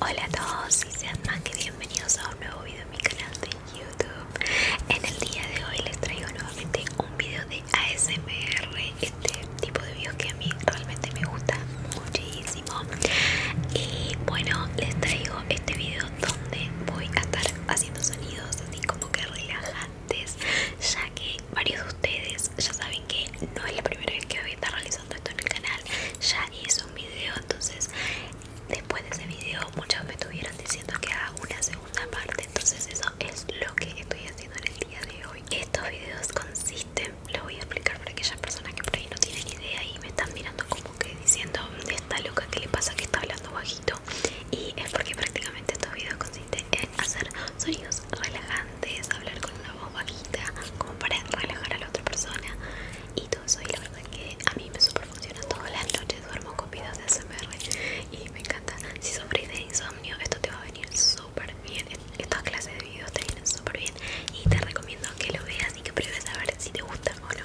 Hola a todos y sean más que bienvenidos a un nuevo video en mi canal de YouTube. En el día de hoy les traigo nuevamente un video de ASMR, este tipo de videos que a mí realmente me gusta muchísimo y bueno les traigo este video donde voy a estar haciendo sonidos así como que relajantes ya que varios de ustedes ya saben que no es la primera vez que voy a estar realizando esto en el canal ya hice un video entonces después de ese video muchos me estuvieron diciendo que haga una segunda parte entonces eso es lo que estoy haciendo en el día de hoy estos videos consisten lo voy a explicar para aquellas personas que por ahí no tienen idea y me están mirando como Diciendo que diciendo esta loca que le pasa que está hablando bajito y es porque prácticamente estos videos consiste en hacer sonidos relajantes, hablar con una voz bajita como para relajar a la otra persona y todo eso y la verdad que a mí me super funciona todas las noches, duermo con vídeos de ASMR y me encanta, si sufrís de insomnio esto te va a venir súper bien, esta clase de videos te vienen bien y te recomiendo que lo veas y que pruebes a ver si te gusta o no.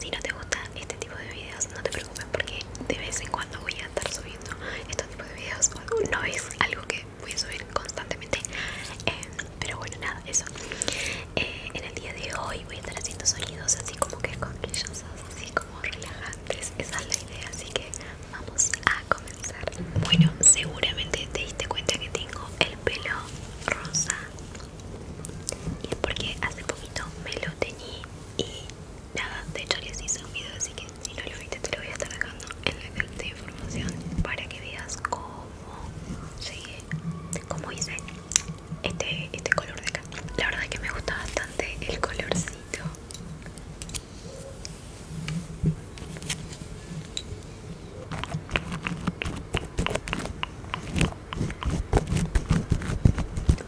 Si no te gusta este tipo de videos, no te preocupes porque de vez en cuando voy a estar subiendo estos tipos de videos. No es algo que voy a subir constantemente, em, pero bueno, nada, eso. Eh, en el día de hoy voy a estar haciendo sonidos así como que esconquillosos, así como relajantes. Esa es la idea, así que vamos a comenzar. Bueno, seguramente te diste cuenta que tengo pelo rosa y es porque hace poquito me lo teñí y nada, de hecho les hice un video así que si no lo viste te lo voy a estar dejando en la de información para que veas cómo llegué, cómo hice este, este color de acá la verdad es que me gusta bastante el colorcito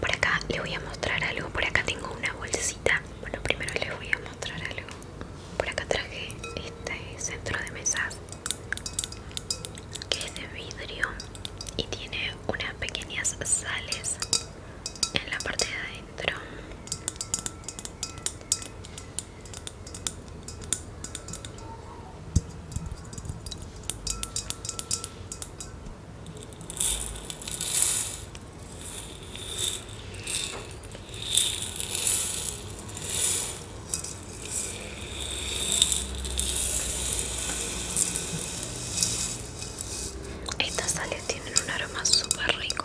por acá les voy a mostrar algo. Por acá tengo una bolsita. Bueno, primero les voy a mostrar algo. Por acá traje este centro de mesas que es de vidrio y tiene unas pequeñas sales en la parte de adentro. Estas sales tienen un aroma super rico.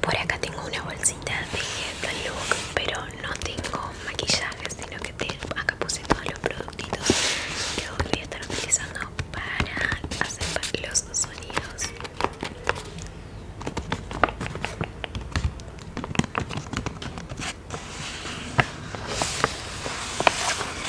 Por acá tengo una bolsita de Look, pero no tengo maquillaje, sino que acá puse todos los productitos que voy a estar utilizando para hacer los sonidos.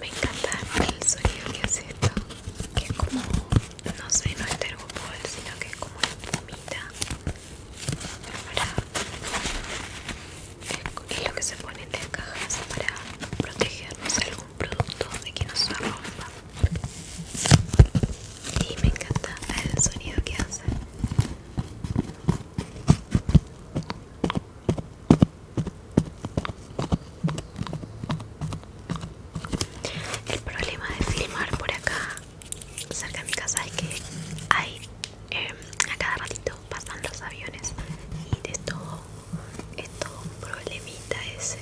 me encanta el sonido que hace esto que es como no sé no es tergopol sino que es como la espumita para es lo que se pone en las cajas para protegernos algún producto de que nos rompa y me encanta el sonido que hace el problema de filmar por acá, cerca de mi casa, es que hay em, a cada ratito pasan los aviones y de todo, es todo un problemita ese.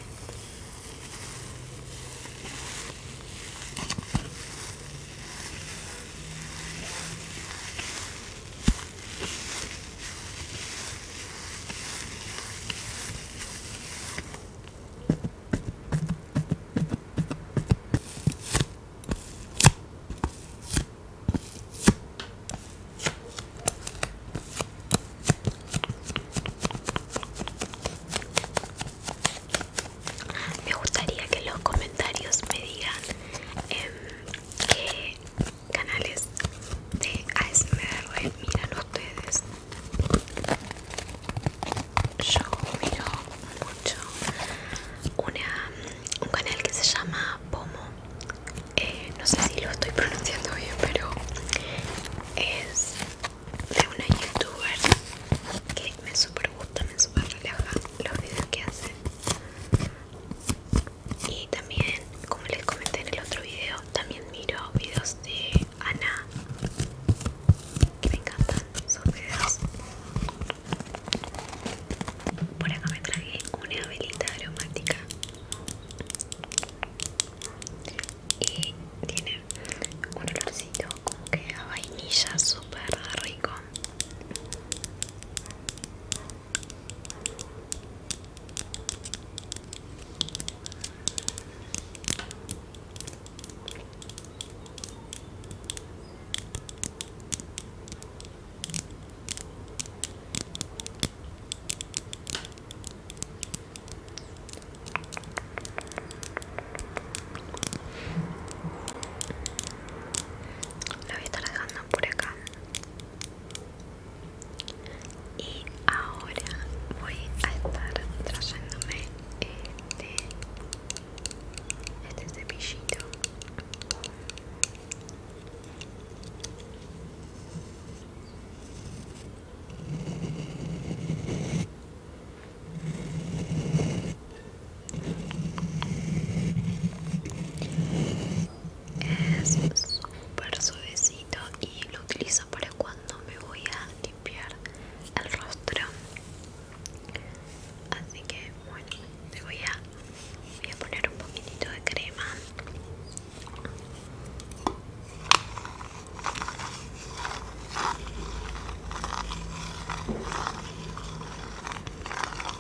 Me gustaría que los comentarios me digan em, canales de ASMR miran ustedes yo miro mucho una, un canal que se llama Pomo eh, no sé si lo estoy pronunciando bien pero es de una youtuber que me super gusta me super relaja los vídeos que hace y también como les comenté en el otro video también miro videos de Ana que me encantan sus videos por acá me traje una velita aromática y tiene un olorcito como que a vainilla súper rico lo voy a estar dejando por acá y ahora voy a estar trayéndome este este cepillito es súper suavecito y lo utilizo para cuando me voy a limpiar el rostro. Así que bueno, te voy a, poner un poquitito de crema.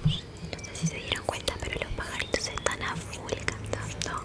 No sé si se dieron cuenta, pero los pajaritos están a full cantando.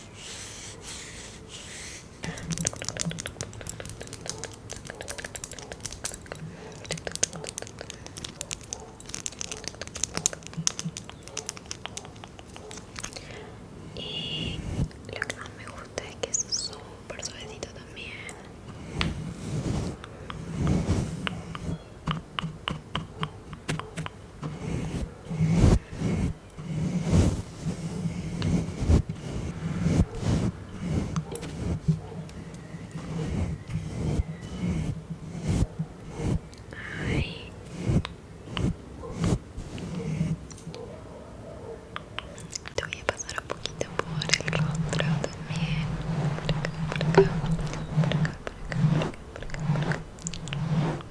Y lo que más me gusta es que es súper suavecito también. Ay. Te voy a pasar un poquito por el rostro también.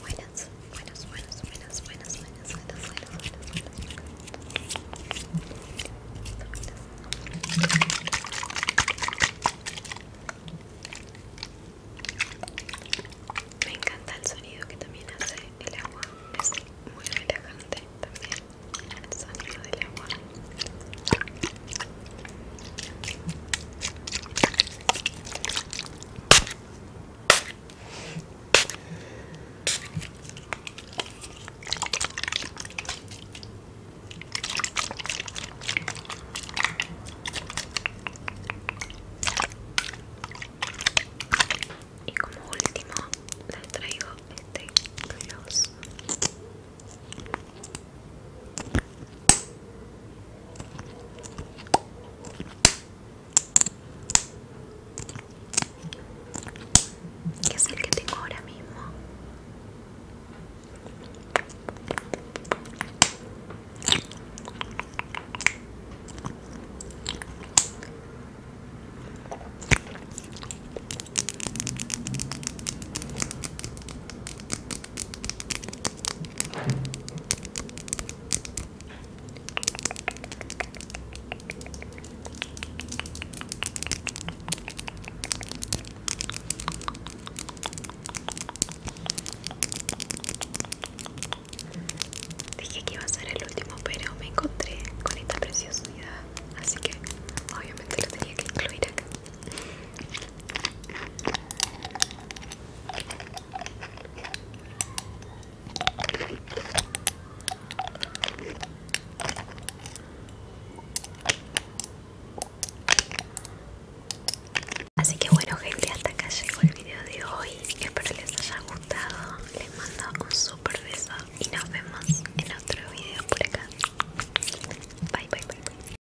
Buenas, buenas, buenas, buenas, buenas, buenas, buenas, buenas, buenas, Me encanta el sonido que también hace el agua. Es muy relajante también el sonido del agua. Y como último les traigo este ¿Qué es el que tengo ahora mismo Dije que iba a ser el último, pero me encontré con esta preciosidad, así que obviamente lo tenía que incluir acá. Así que bueno gente, hasta acá llegó el video de hoy. Espero les haya gustado. Les mando un super beso y nos vemos en otro video por acá. bye bye. bye.